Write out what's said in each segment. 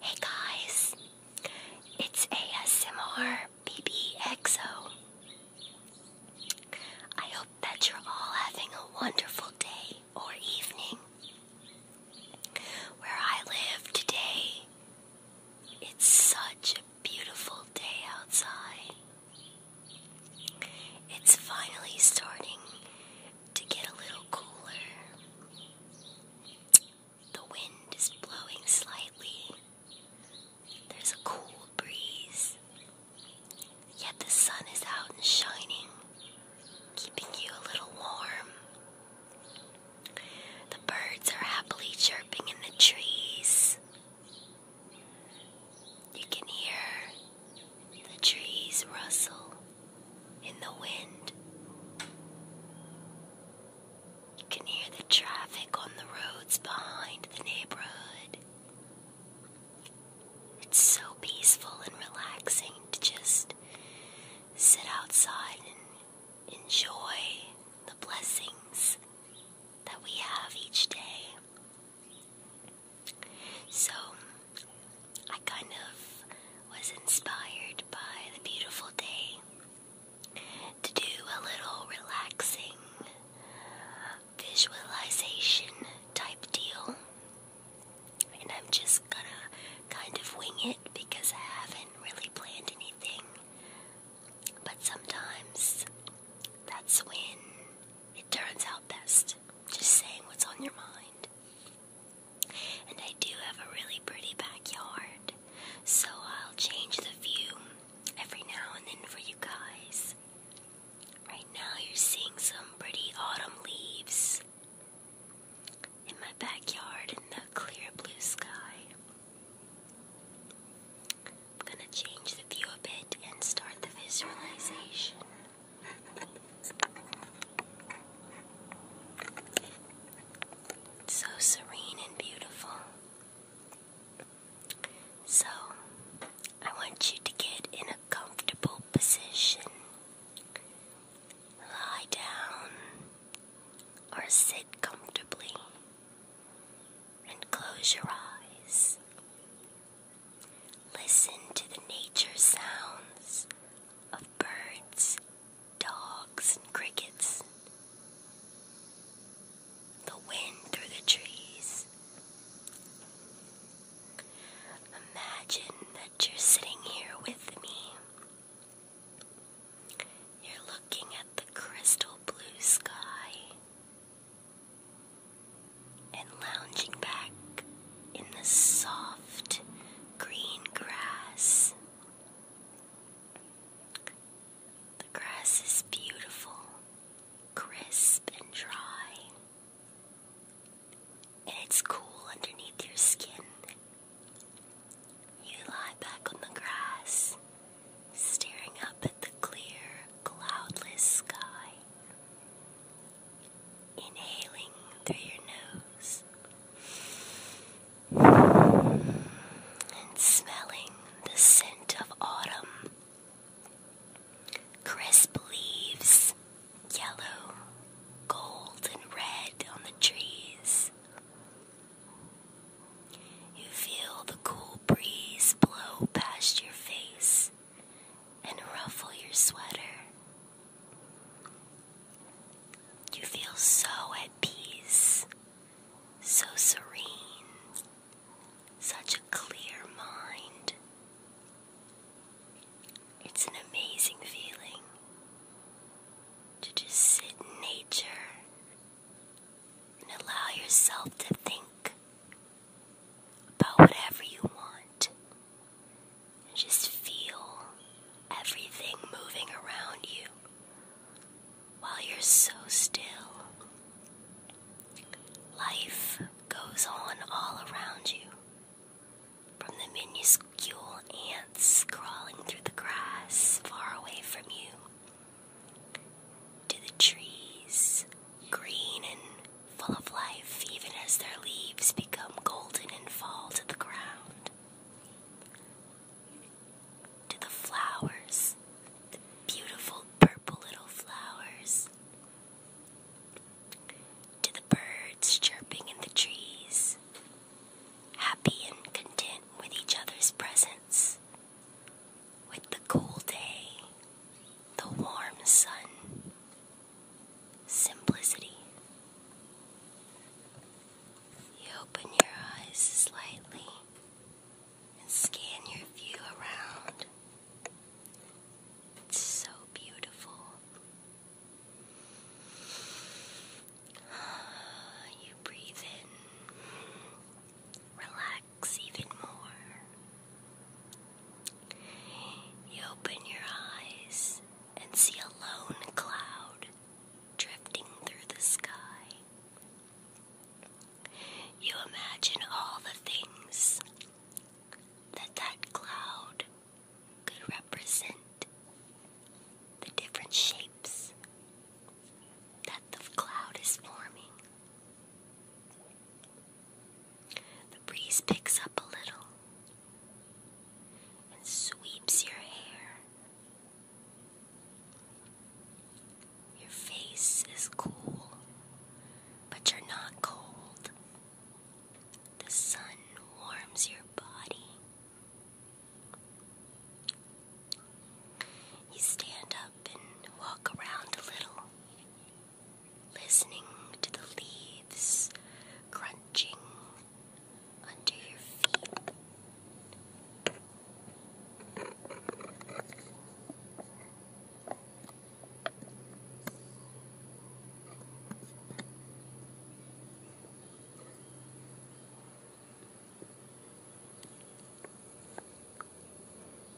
Hey guys, it's ASMR BBXO. I hope that you're all having a wonderful day or evening. Where I live today, it's such a beautiful day outside. It's finally starting to get a little cooler. The wind is blowing slightly. There's a cool breeze. Yet the sun is out and shining, keeping you a little warm. The birds are happily chirping in the trees. You can hear the trees rustle in the wind. You can hear the traffic on the roads behind the neighborhood. It's so peaceful and relaxing to just sit outside and enjoy the blessings that we have each day. So, I kind of was inspired by the beautiful day to do a little relaxing visualization type deal. And I'm just gonna kind of wing it because I haven't really planned anything. But sometimes that's when it turns out best. Just saying what's on your mind. And I do have a really pretty backyard, so I'll change the view every now and then for you guys. Right now, you're seeing some pretty autumn leaves in my backyard in the clear blue sky. I'm gonna change the view a bit and start the visualization. So serene and beautiful. So, I want you to get in a comfortable position. Lie down or sit comfortably and close your eyes. Listen to the nature sounds of birds, dogs, and crickets. The wind through the trees. Imagine that you're sitting here with me. You're looking at the crystal blue sky and lounging back in the soft green grass. The grass is beautiful, crisp, and dry, and it's cool underneath your skin. You lie back on the grass, staring up at the clear, cloudless sky. Inhaling through your nose and smelling the scent of autumn. Crisp leaves, yellow, gold, and red on the trees. You feel the cool breeze blow past your face and ruffle your sweater. You feel so at peace, so serene, such a clear mind. It's an amazing feeling to just sit in nature and allow yourself to think but whatever you want, just feel everything moving around you while you're so still. Life goes on all around you, from the minuscule ants crawling through the grass far away from you. To the trees green and full of life, even as their leaves become golden and fall to the ground. To the flowers, the beautiful purple little flowers. To the birds chirping in the trees, happy and content with each other's presence, with the cool day, the warm sun, simplicity. You open your eyes slightly and scan your view around. It's so beautiful. You breathe in, relax even more. You open your eyes and see a lone cloud drifting through the sky. You imagine all the things that that cloud could represent, the different shapes that the cloud is forming. The breeze picks up a little and sweeps your hair. Your face is cool, but you're not cold. The sun warms your body. You stand up and walk around a little listening to the leaves crunching under your feet.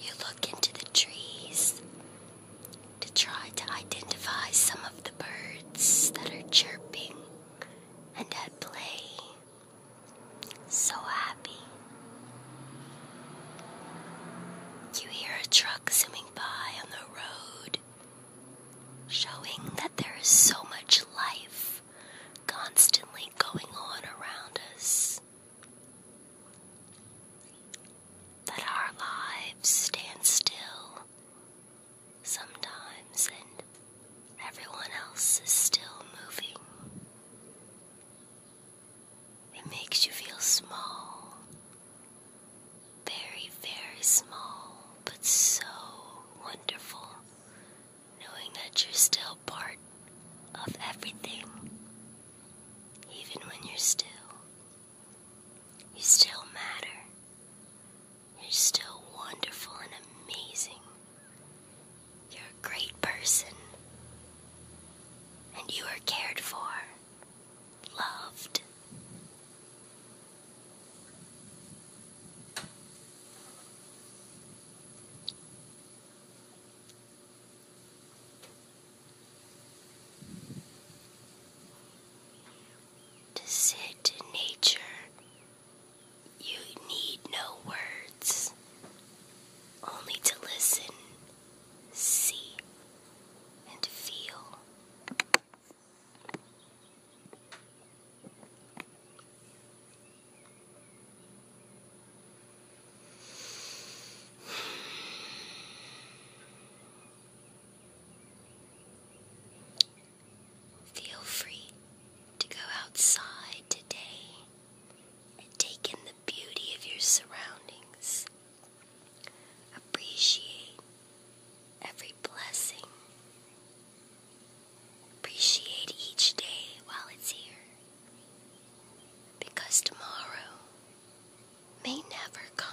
You look into the trees to try to identify some of the birds that are chirping and at play. So happy. You hear a truck zooming by on the road, showing that there is so much life constantly going on around us that our lives stand still sometimes and everyone else is still moving. It makes you feel small, very, very small, but so wonderful knowing that you're still part of everything, even when you're still. You still matter. You're still wonderful and amazing. You're a great person. And you are cared for, loved. To sit in nature, you need no words, only to listen, see, and feel. Feel free to go outside today and take in the beauty of your surroundings. Appreciate every blessing Appreciate each day while it's here. Because tomorrow may never come.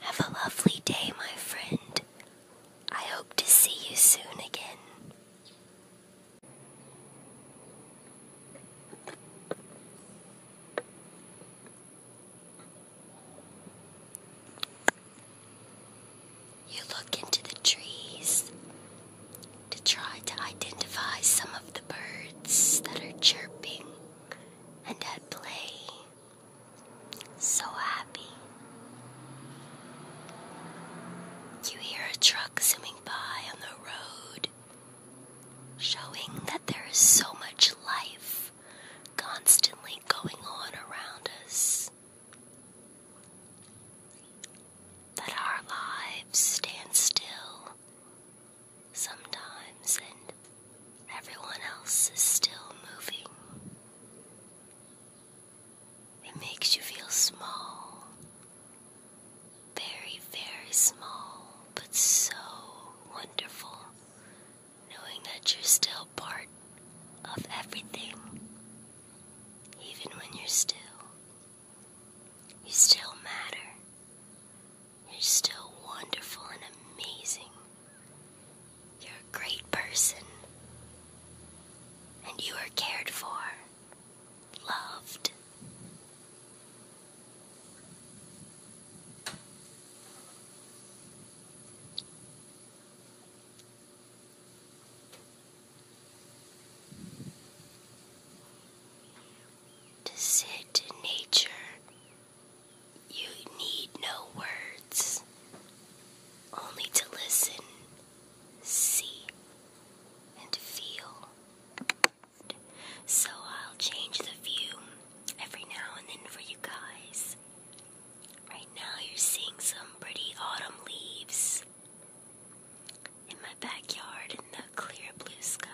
Have a lovely day, my friend. I hope to see you soon again. You look into the trees to try to identify some of the birds that are chirping and at play so happy. You hear a truck zooming by on the road, showing that there is so much life constantly going on around us. That our lives stand still sometimes and everyone else is still moving. It makes you feel small. Very, very small, but so wonderful knowing that you're still part of everything. Even when you're still, you still matter. You're still wonderful and amazing. You're a great person. And you are cared for, loved. To sit in nature you need no words, only to listen, see, and feel. So I'll change the view every now and then for you guys. Right now, you're seeing some pretty autumn leaves in my backyard in the clear blue sky.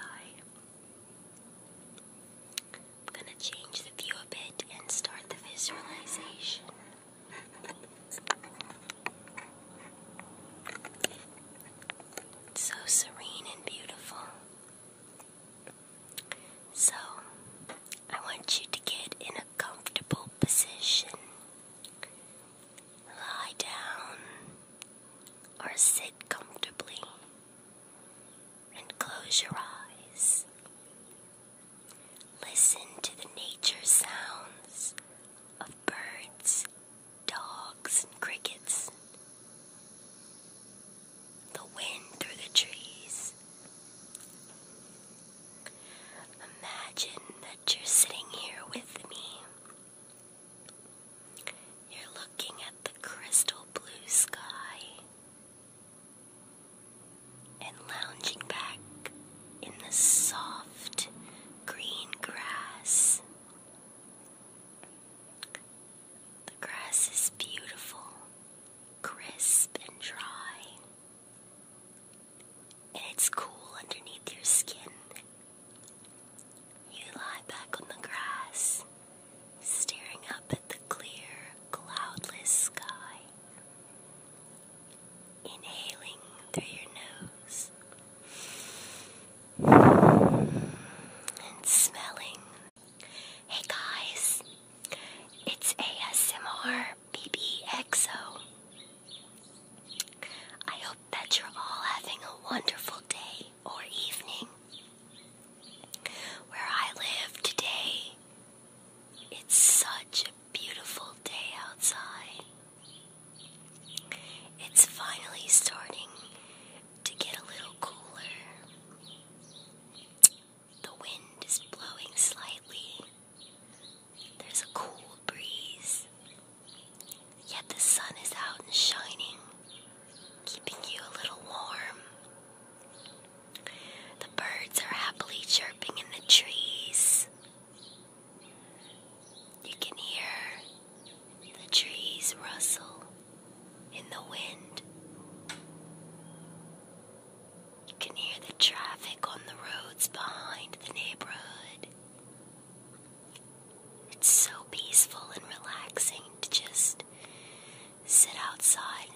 I'm gonna change the view a bit and start the visualization. so serene and beautiful. So, I want you to get in a comfortable position. Lie down or sit comfortably and close your eyes. Listen to the nature sounds of birds, dogs, and crickets. The wind through the trees. Imagine that you're sitting here with me. You're looking at the crystal blue sky and lounging back in the soft green grass. The grass is beautiful, crisp, and dry, and it's cool underneath your skin. You lie back on the grass staring up at the clear, cloudless sky. Inhaling through your nose and smelling. Hey guys, it's ASMR BBXO. I hope that you're all having a wonderful day or evening. Where I live today, it's such a beautiful day outside. It's finally starting to get a little cooler. The wind is blowing slightly. There's a cool breeze. Yet the sun is out and shining, keeping you a little warm. The birds are happily chirping in the trees. You can hear the trees rustle in the wind. You can hear the traffic on the roads behind the neighborhood. It's so peaceful and relaxing to just sit outside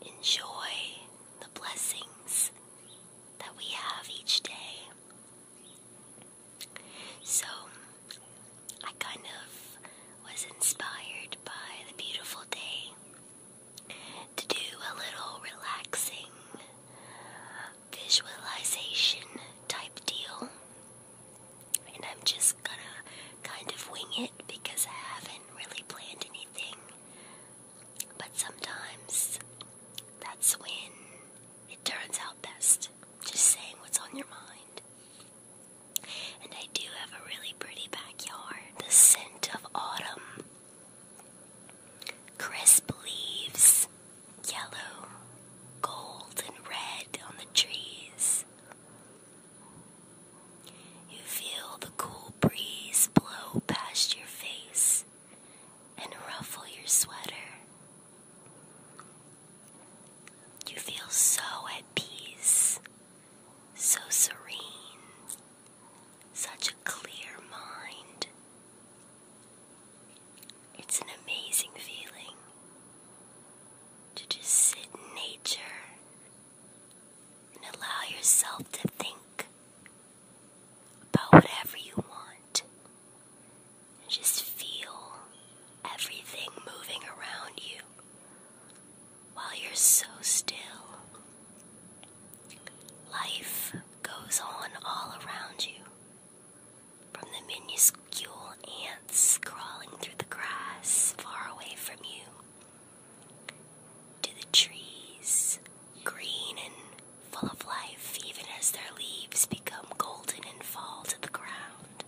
and enjoy the blessings that we have each day. So, I kind of was inspired by the beautiful day to do a little relaxing visualization type deal and I'm just gonna kind of wing it because I haven't really planned anything. But sometimes that's when it turns out best. Just saying what's on your mind. And I do have a really pretty backyard. The scent of autumn. Crisp leaves, yellow, gold, and red on the trees. You feel the cool breeze blow past your face and ruffle your sweater. You feel so at peace, so serene, such a clear mind. It's an amazing feeling to just sit in nature and allow yourself to think about whatever you want and just feel everything moving around you while you're so still. Life goes on all around you from the minuscule ants crawling through the grass far away from you to the trees, green and full of life, even as their leaves become golden and fall to the ground,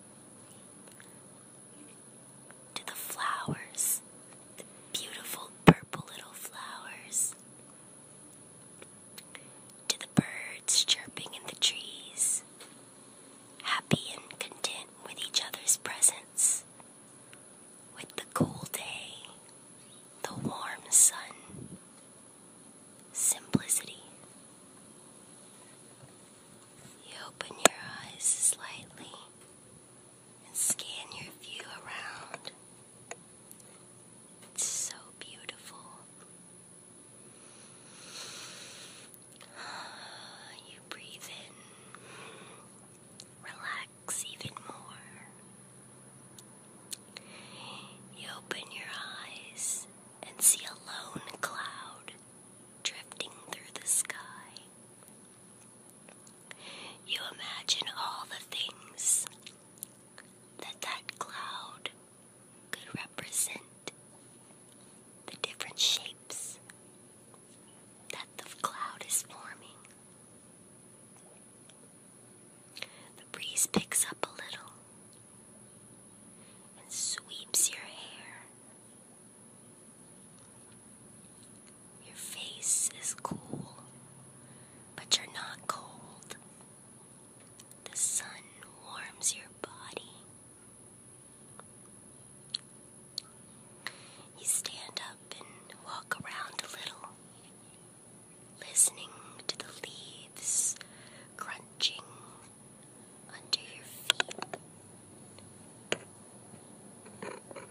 to the flowers, the beautiful purple little flowers. To the birds chirping in the trees, happy and content with each other's presence, with the cool day, the warm sun, simplicity. You open your eyes slightly and scan your view around. It's so beautiful You breathe in, relax even more. You open your eyes and see a lone cloud drifting through the sky. You imagine all the things that that cloud could represent the different shapes that the cloud is forming. The breeze picks up a little and sweeps your hair. Your face is cool, but you're not cold. The sun warms your body. You stand up and walk around a little, listening to the leaves crunching under your feet.